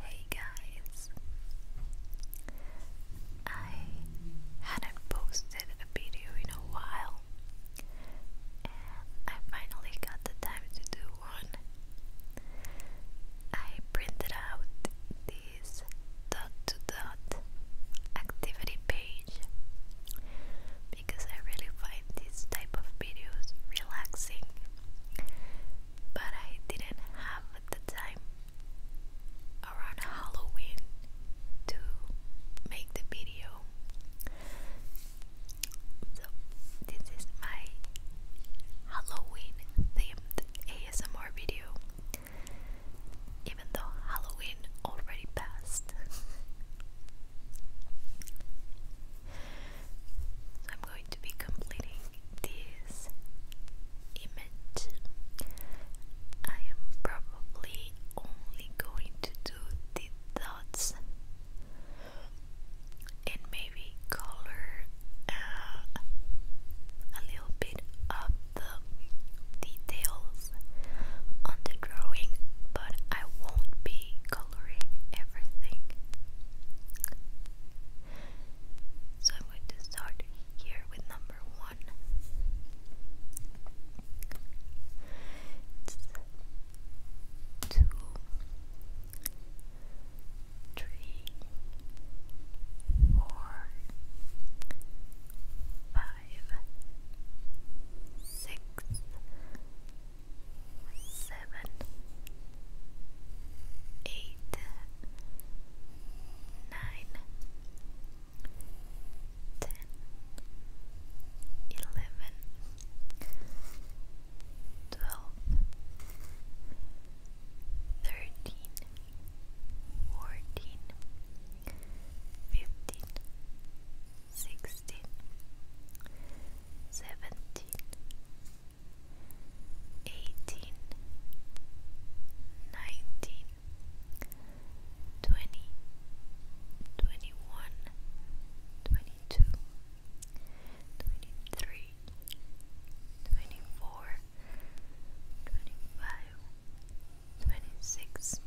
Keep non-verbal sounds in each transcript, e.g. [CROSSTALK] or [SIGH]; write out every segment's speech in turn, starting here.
Hey guys, I hadn't posted a video in a while, and I finally got the time to do one. I printed out this dot to dot activity page because I really find this type of videos relaxing, but I didn't have the time around Halloween to make the video. So, this is my Halloween themed ASMR video, even though Halloween already passed. [LAUGHS] I'm going to be completing this image. I am probably only going to do the dots and maybe color uh, a little bit of the details on the drawing, but I won't be recoloring everything. So I'm going to start here with number one seven, eight, nine, ten, eleven, twelve, thirteen, fourteen, fifteen. 16 sixteen, seventeen, eighteen, nineteen, twenty, twenty one, twenty two, twenty three, twenty four, twenty five, twenty six. 27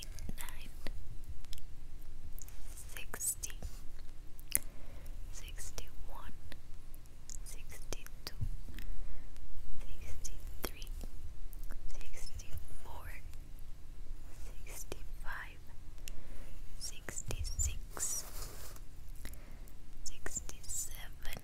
Sixty-nine, sixty, sixty-one, sixty-two, sixty-three, sixty-four, sixty-five, sixty-six, sixty-seven,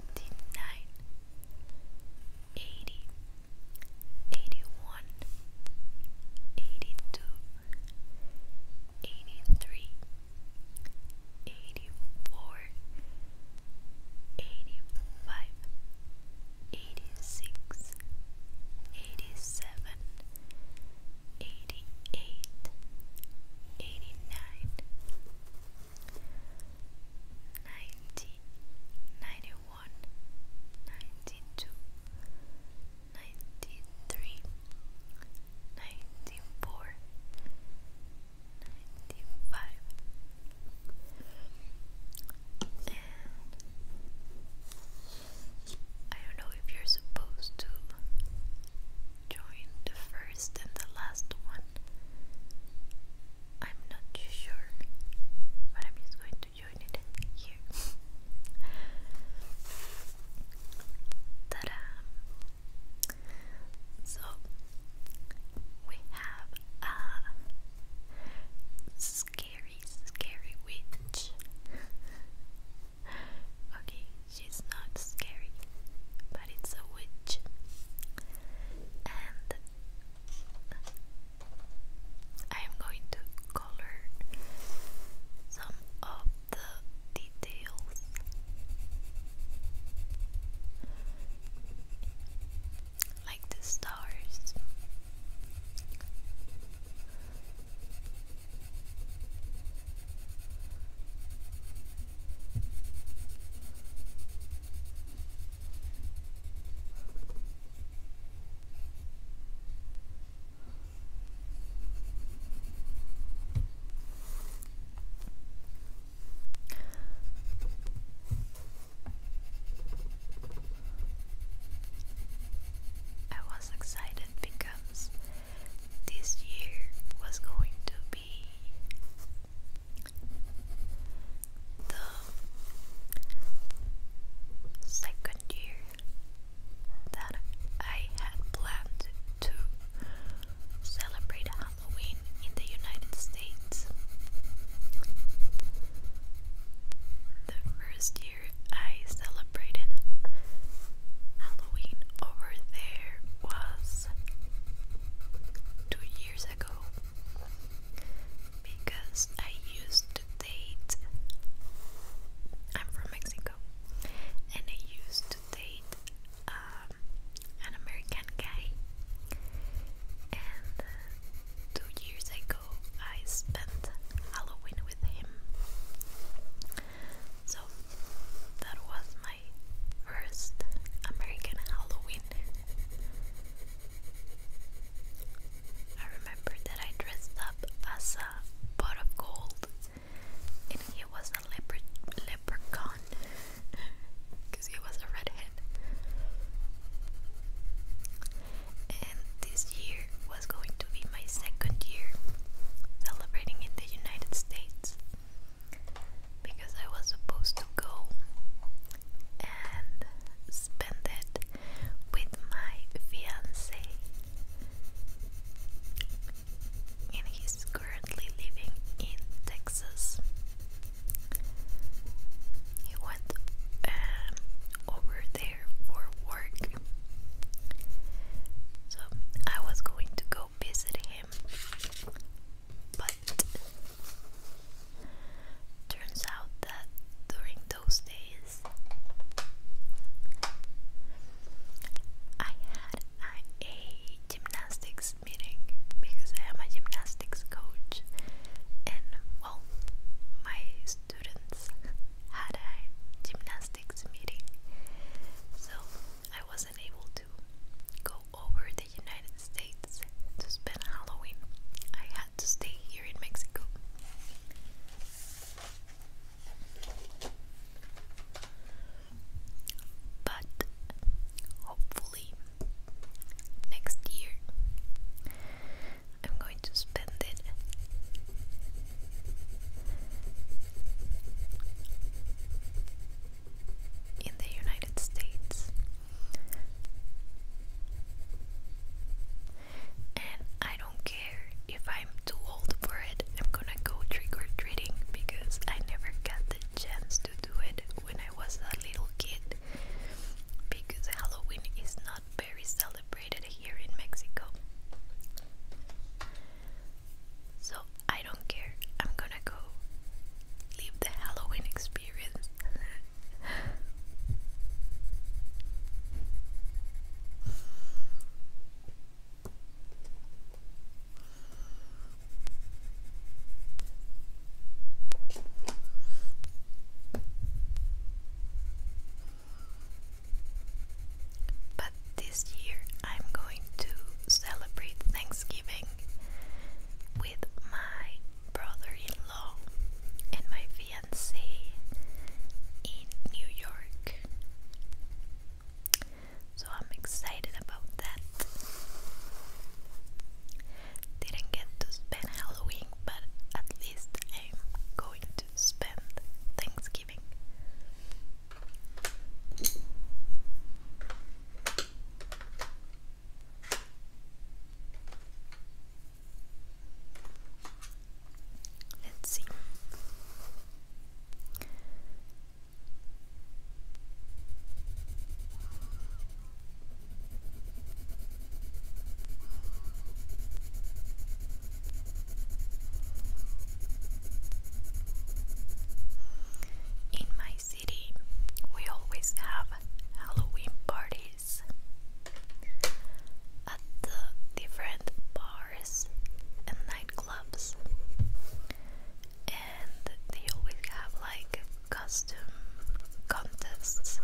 seventy-nine, eighty, eighty-one, eighty-two, eighty-three, eighty-four, eighty-five, eighty-six, eighty-seven, eighty-eight, eighty-nine. 89 ninety, ninety one, ninety two, ninety three, ninety four, ninety five, and I don't know if you're supposed to join the first and the last one. I'm not sure, but I'm just going to join it here. [LAUGHS] ta So we have a scary, scary witch. [LAUGHS] okay, She's not scary, but it's a witch. And I'm going to color some of the details. Like the stars. I was excited because this year was going to be the second year that I had planned to celebrate Halloween in the United States. The first year I celebrated Halloween over there was two years ago because I used to date. I'm from Mexico and I used to date um, an American guy, and uh, two years ago I spent Halloween with him. So that was my first American Halloween. I remember that I dressed up as a pot of gold and he was a leopard leprechaun because [LAUGHS] he was a redhead. And this year was going to be my second year celebrating in the United States because I was supposed to go and spend it with my fiance. And he's currently living in Texas. He went um, over there for work so I was going to go visit him, but turns out that during those days I had a gymnastics meeting because I am a gymnastics coach, and well, my students had a gymnastics meeting, so I wasn't able to go over the United States to spend Halloween. I had to stay here in Mexico. But hopefully next year I'm going to spend it. In the United States, and I don't care if I'm too old for it. I'm gonna go trick or treating because I never got the chance to do it when I was a little kid. Because Halloween is not very celebrated here in Mexico. So I don't care. I'm gonna go live the Halloween experience. But this year I'm going to celebrate Thanksgiving with my brother in law and my fiance in New York. So I'm excited about that. Didn't get to spend Halloween, but at least I'm going spend Thanksgiving. Let's see. In my city, we always have Halloween parties at the different bars and nightclubs, and they always have like costume contests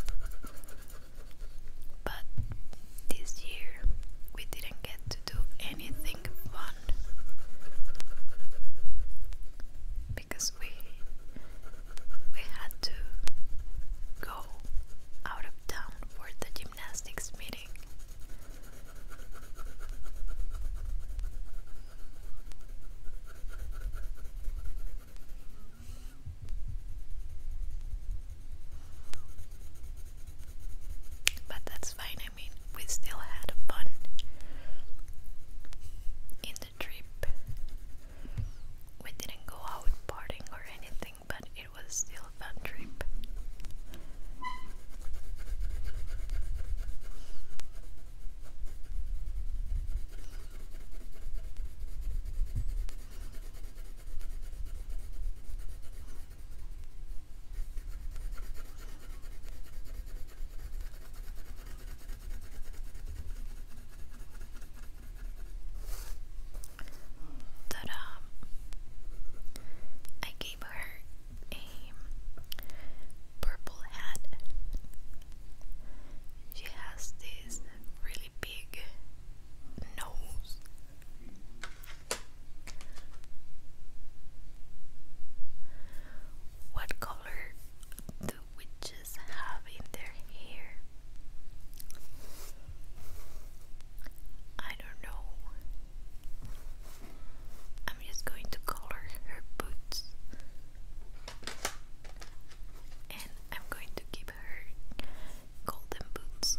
but this year we didn't get to do anything fun because we we had to go out of town for the gymnastics meeting. But that's fine, I mean, we still had fun in the trip. We didn't go out partying or anything, but it was still a fun trip. Ta-da! I gave her a purple hat. She has this really big nose. What color do witches have in their hair? I don't know. I'm just going to color her boots and I'm going to give her golden boots.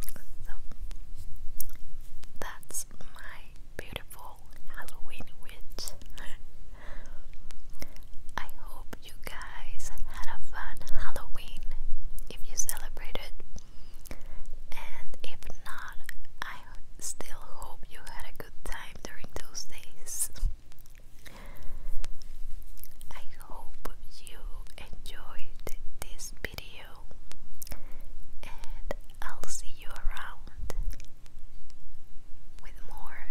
so that's my beautiful Halloween witch. [LAUGHS] I hope you guys had a fun Halloween if you celebrated, and if not, I still hope you had a good time during those days. I hope you enjoyed this video and I'll see you around with more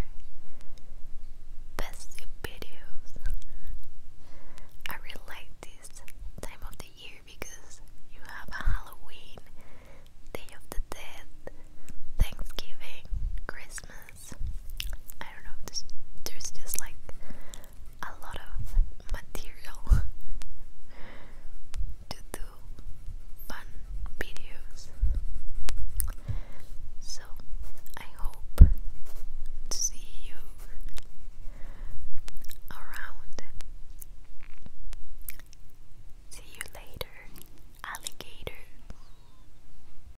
best videos. I really like this time of the year because you have Halloween, Day of the Dead, Thanksgiving, Christmas. I don't know, there's, just like a lot of material [LAUGHS] to do fun videos. So I hope to see you around. See you later, alligator.